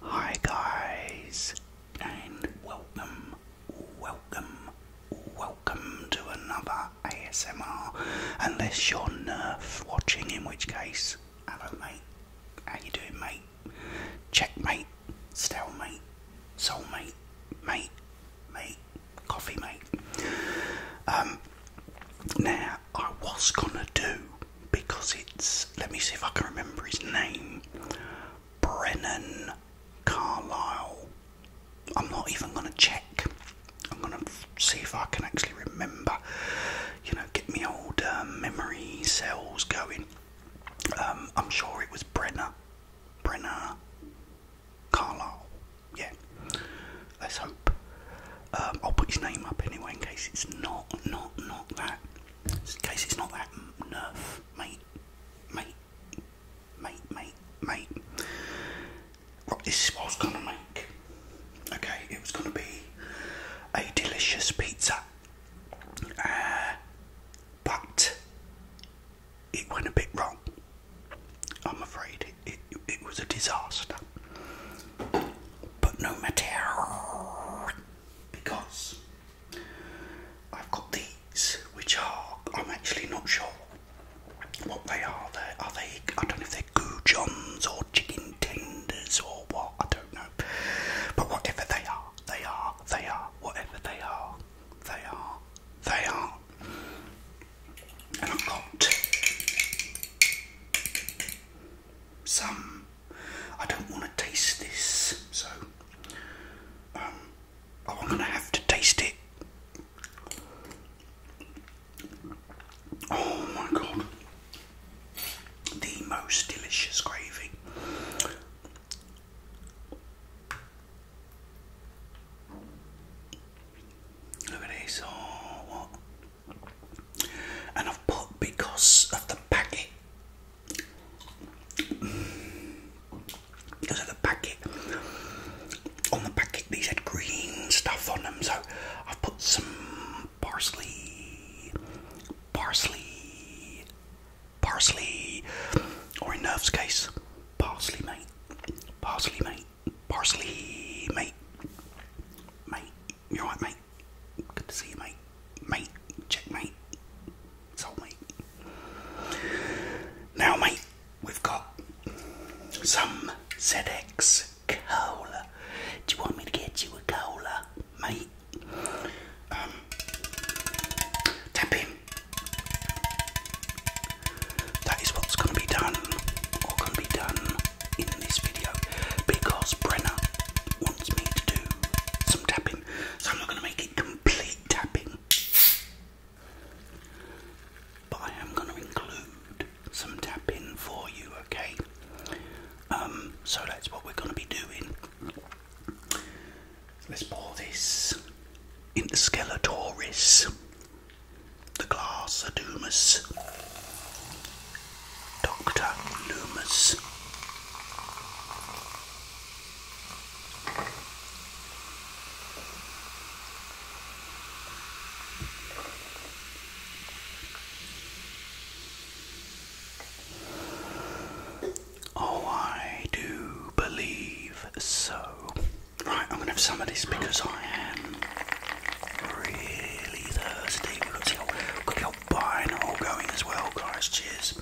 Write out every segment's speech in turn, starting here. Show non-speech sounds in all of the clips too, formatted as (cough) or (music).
Hi guys, and welcome, welcome, welcome to another ASMR. Unless you're Nerf watching, in which case, hello mate, how you doing mate? Checkmate, stalemate, soulmate, mate, mate, coffee mate. Um, now I was gonna do because it's, let me see if I can remember his name, Brennan Carlisle. I'm not even going to check. I'm going to see if I can actually remember. You know, get me old um, memory cells going. Um, I'm sure it was Brenner. Brenner Carlisle. Yeah. Let's hope. Um, I'll put his name up anyway in case it's not, not, not that. Guys, it's not that nerf, mate, mate, mate, mate, mate. Right, this was gonna make. Okay, it was gonna be a delicious pizza, uh, but it went a bit wrong. I'm afraid it, it, it was a disaster. But no matter because I've got these, which are I'm actually not sure what they are. They're, they? I don't know if they're goujons or chicken tenders or what. I don't know. But whatever they are, they are, they are. Whatever they are, they are, they are. And I've got some. I don't want to taste this, so um, I'm gonna have to taste it. Oh my god, the most delicious gravy. Look at this, oh, what? And I've put because of the packet because of the packet. On the packet, these had green stuff on them, so I've put some parsley, parsley, parsley, or in Nerve's case, parsley, mate, parsley, mate, parsley, mate, mate. You're right, mate. Good to see you, mate. Mate, checkmate. Soulmate. Now, mate, we've got some ZX cola. Do you want me to get you a cola, mate? Um, tap in. That is what's going to be done, or going to be done in this video, because Brenner wants me to do some tapping, so I'm not going to make it complete tapping, but I am going to include some tapping for you, okay? Um, so that's what we're going to be doing. Let's pour this into Skeletoris, the glass Adumus. Dr. Loomis. Oh, I do believe so. Right, I'm gonna have some of this because I am really thirsty. We've got to albino going as well, guys. Cheers.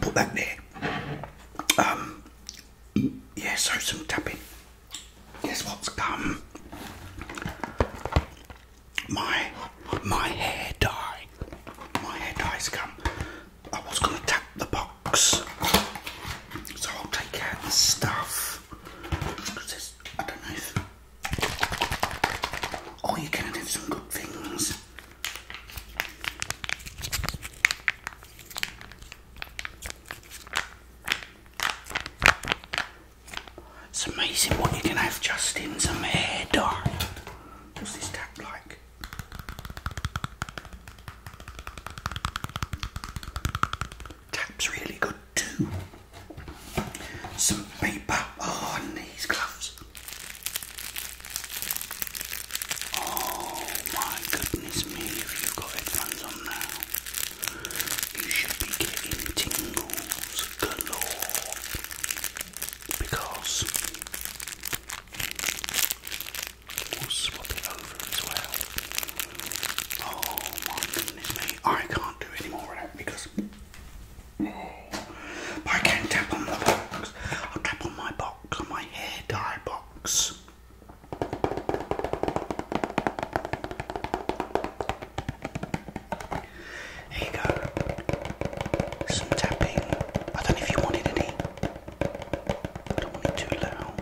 Put that there. Um, yeah, so some tapping. Guess what's come? My my hair dye. My hair dye's come. I was going to tap the box, so I'll take out the stuff. Because I don't know if. Oh, you can have some good things. It's amazing what you can have just in some hair dye. What's this tap like? Tap's really good too. Some paper on these gloves. Oh my goodness me, you've got headphones on now, you should be getting tingles galore because will swap it over as well. Oh my goodness me, I can't do any more of that because. Oh, I can tap on the box. I'll tap on my box, on my hair dye box. There you go. Some tapping. I don't know if you wanted any. I don't want it too loud.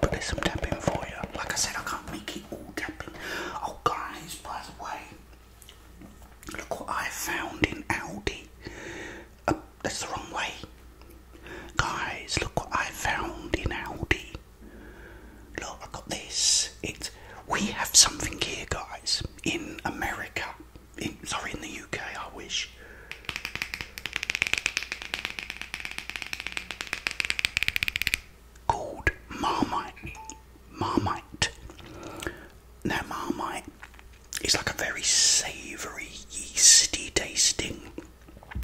But there's some tapping for you. Like I said, I can't make it all tapping. Oh, guys, by the way, look what I found in Aldi. Uh, that's the wrong way. Guys, look what I found in Aldi. Look, I got this. It's we have something here, guys, in America sorry, in the UK, I wish. Called Marmite. Marmite. Now, Marmite is like a very savoury, yeasty tasting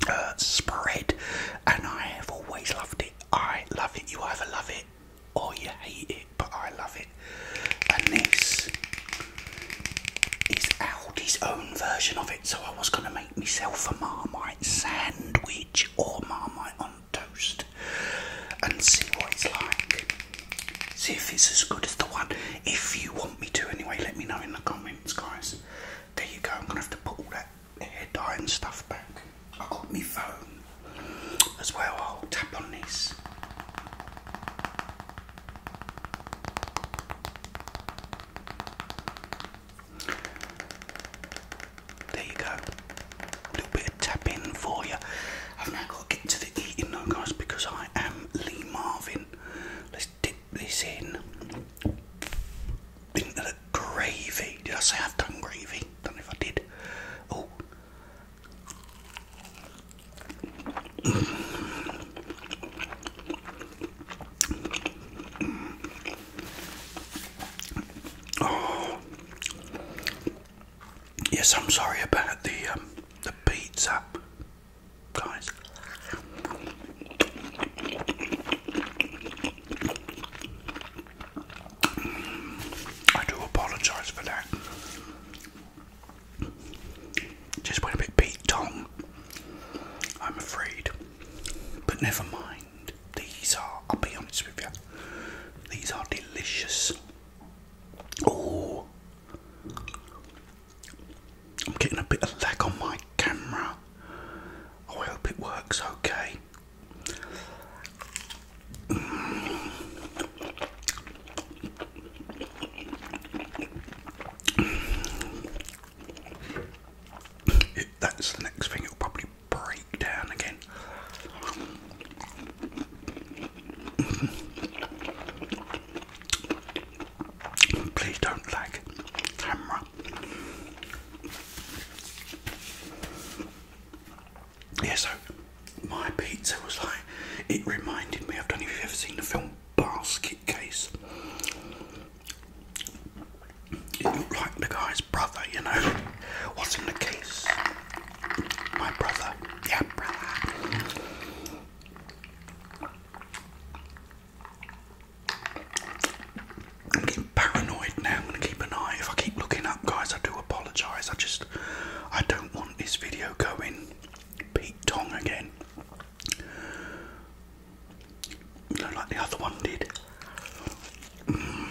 uh, spread, and I have always loved it. I love it. You either love it or you hate it but I love it. And this is Aldi's own version of it, so I was going to make myself a Marmite sandwich or Marmite on toast and see what it's like. See if it's as good as the one. If you want me to, anyway, let me know in the comments, guys. There you go. I'm gonna have to put all that hair dye and stuff back. I got my phone as well. I'll tap on this. There you go. A little bit of tapping for you. I've now got to get to the eating now, guys, because I am Lee Marvin. Let's dip this in into the gravy. Did I say I've done gravy? Don't know if I did. Oh, Oh. Yes, I'm sorry about the um, the pizza, guys. I do apologise for that. Just went a bit beat Tong, I'm afraid. But never mind. These are, I'll be honest with you, these are delicious. Oh, I'm getting a bit of lag on my camera. I hope it works okay. Mm. It, that's the next thing, it'll probably break down again. Please don't lag, camera. Yeah, so my pizza was like, it reminded me, I don't know if you've ever seen the film Basket Case. It looked like the guy's brother, you know. What's in the case? My brother. Yeah, brother. I'm getting paranoid now. I'm going to keep an eye. If I keep looking up, guys, I do apologise. I just, I don't want this video going Pete Tong again. You like the other one did. Mm.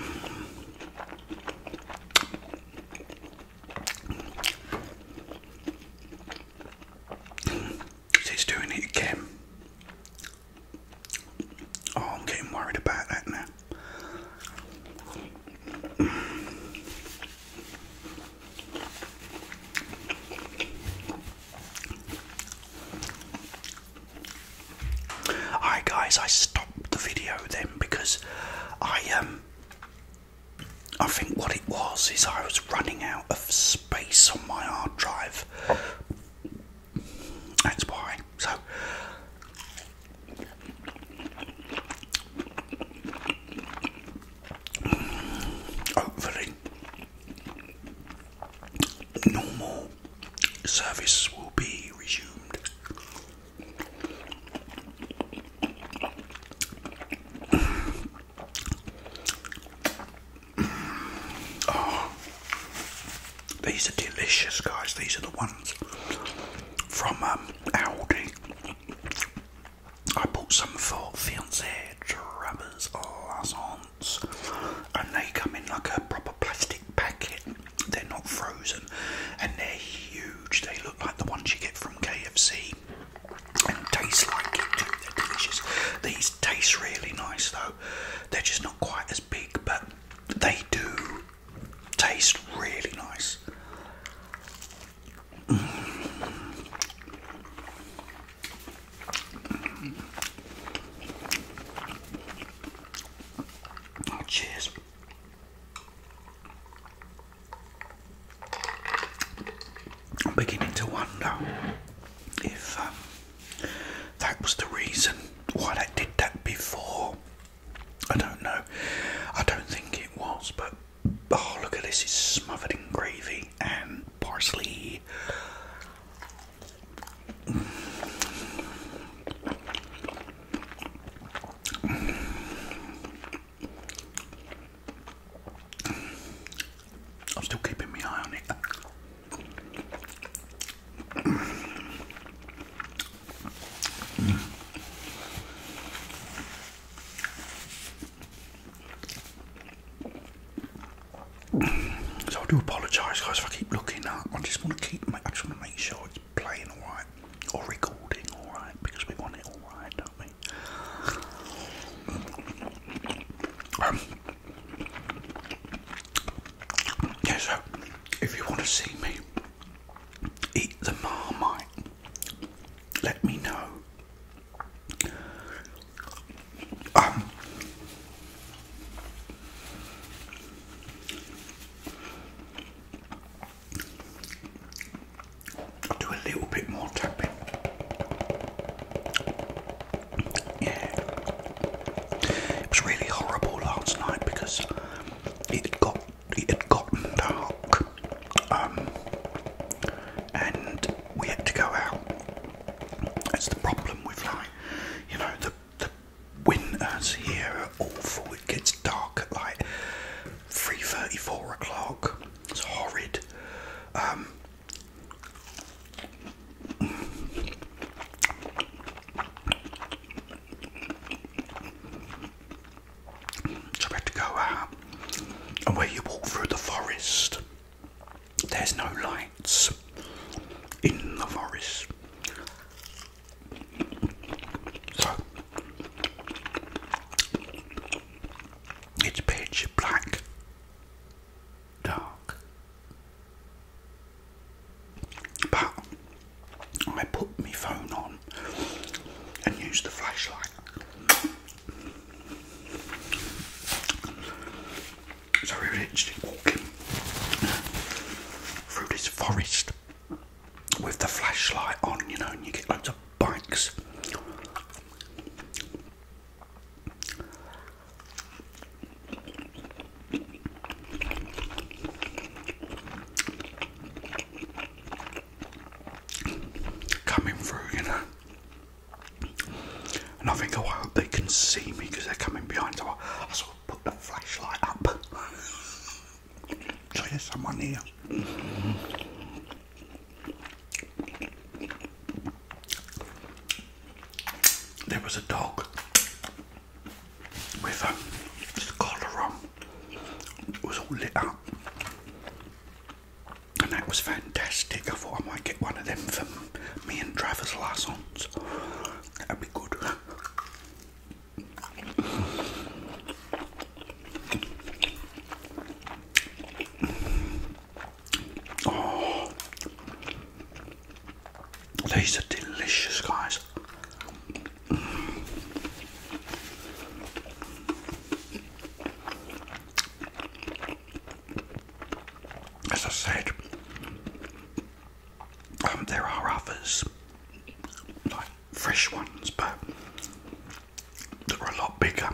doing it again. Oh, I'm getting worried about that now. Alright guys, I stopped the video then because I um I think what it was is I was running out of space on my hard drive. That's why. So Hopefully, normal service will be resumed. Oh, these are delicious, guys. These are the ones from um, Aldi. I bought some for fiancé rubbers lasons, and they come in like a proper plastic packet. They're not frozen, and they're huge. They look like the ones you get from KFC, and taste like it. Too. They're delicious. These taste really nice though. They're just not quite as big, but they do taste really nice cheers. I'm beginning to wonder if um, that was the reason why they did that before. I don't know. I don't think it was, but Oh, look at this, it's smothered in gravy and parsley. I'm still keeping my eye on it. So I do apologise, guys, if I keep looking up. I just want to keep. I just want to make sure it's playing all right or recording all right because we want it all right, don't we? Yes. Um, yeah. So if you want to see me eat the marmite, let me know do a little bit more tapping. Yeah. It was really horrible last night because it got it had gotten dark um, and we had to go out. That's the problem with like, you know, the the winters here are awful. It gets dark at like three thirty, four o'clock. It's horrid. Um, so we had to go out, and where you walk through the forest, there's no lights in the forest. So it's pitch black, dark. But I put my phone on and used the flashlight. Sorry, we are actually walking through this forest with the flashlight on, you know, and you get loads of bikes coming through, you know. And I think, oh, I hope they can see me because they're coming behind. So I, I sort of put the flashlight up. there's someone here. There was a dog with um, a collar on. It was all lit up and that was fantastic. I thought I might get one of them for me and Travis Larsons. That'd be good. Oh. these are delicious, guys. As I said, um, there are others, like fresh ones, but that are a lot bigger.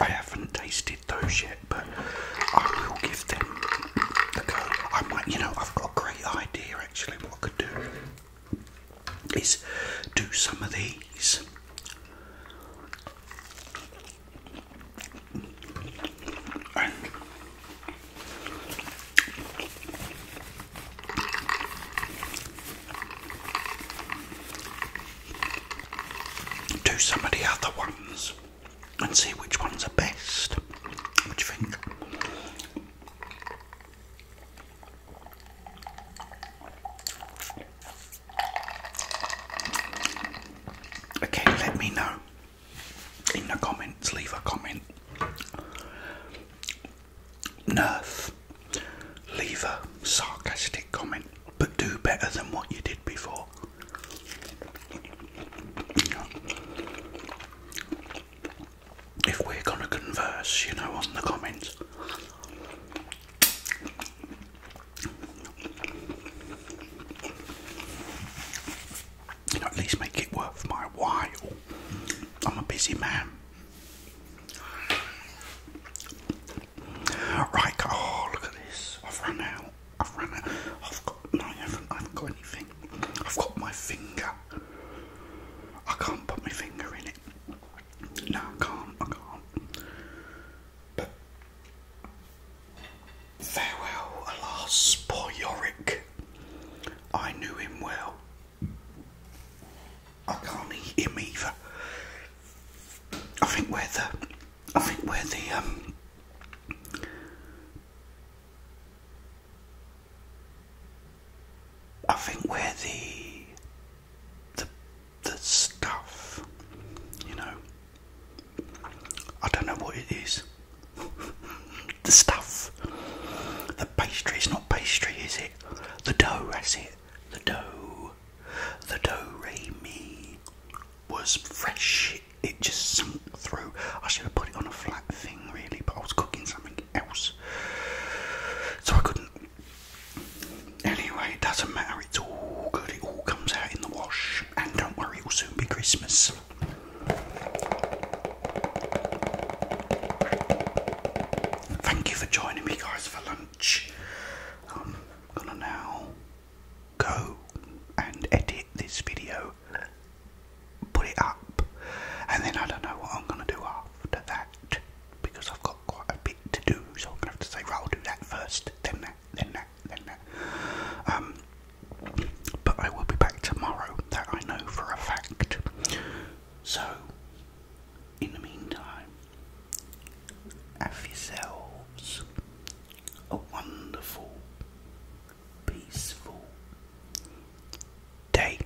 I haven't tasted those yet, but I will give them the go. I might, you know, I've got a great idea actually what I could do is do some of these. And do some of the other ones and see which ones are best. What do you think? Again, let me know in the comments, leave a comment. Nerf, leave a sarcastic comment, but do better than what you did before. If we're gonna converse, you know, on the comments, at least make it worth my while. I'm a busy man. Right, oh look at this. I've run out. I've run out. I've got no I haven't I haven't got anything. I've got my finger. I can't put my finger in it. No, I can't, I can't. But farewell, alas, poor Yorick. I knew him well. I can't eat him either. I think where the, I think where the um, I think where the the the stuff, you know. I don't know what it is. (laughs) the stuff. The pastry is not pastry, is it? The dough, that's it. The dough. The dough Ray me was fresh. It just sunk through. I should have put it on a flat thing really, but I was cooking something else. So I couldn't Anyway, it doesn't matter, it's all good, it all comes out in the wash, and don't worry, it will soon be Christmas. Thank you for joining me, guys, for lunch. I'm gonna now go and edit this video, put it up, and then I don't know what I'm gonna do after that because I've got quite a bit to do, so I'm gonna have to say, right, I'll do that first, then that, then that, then that. Um, but I will be back tomorrow, that I know for a fact. So, in the meantime, have yourselves a wonderful, peaceful day.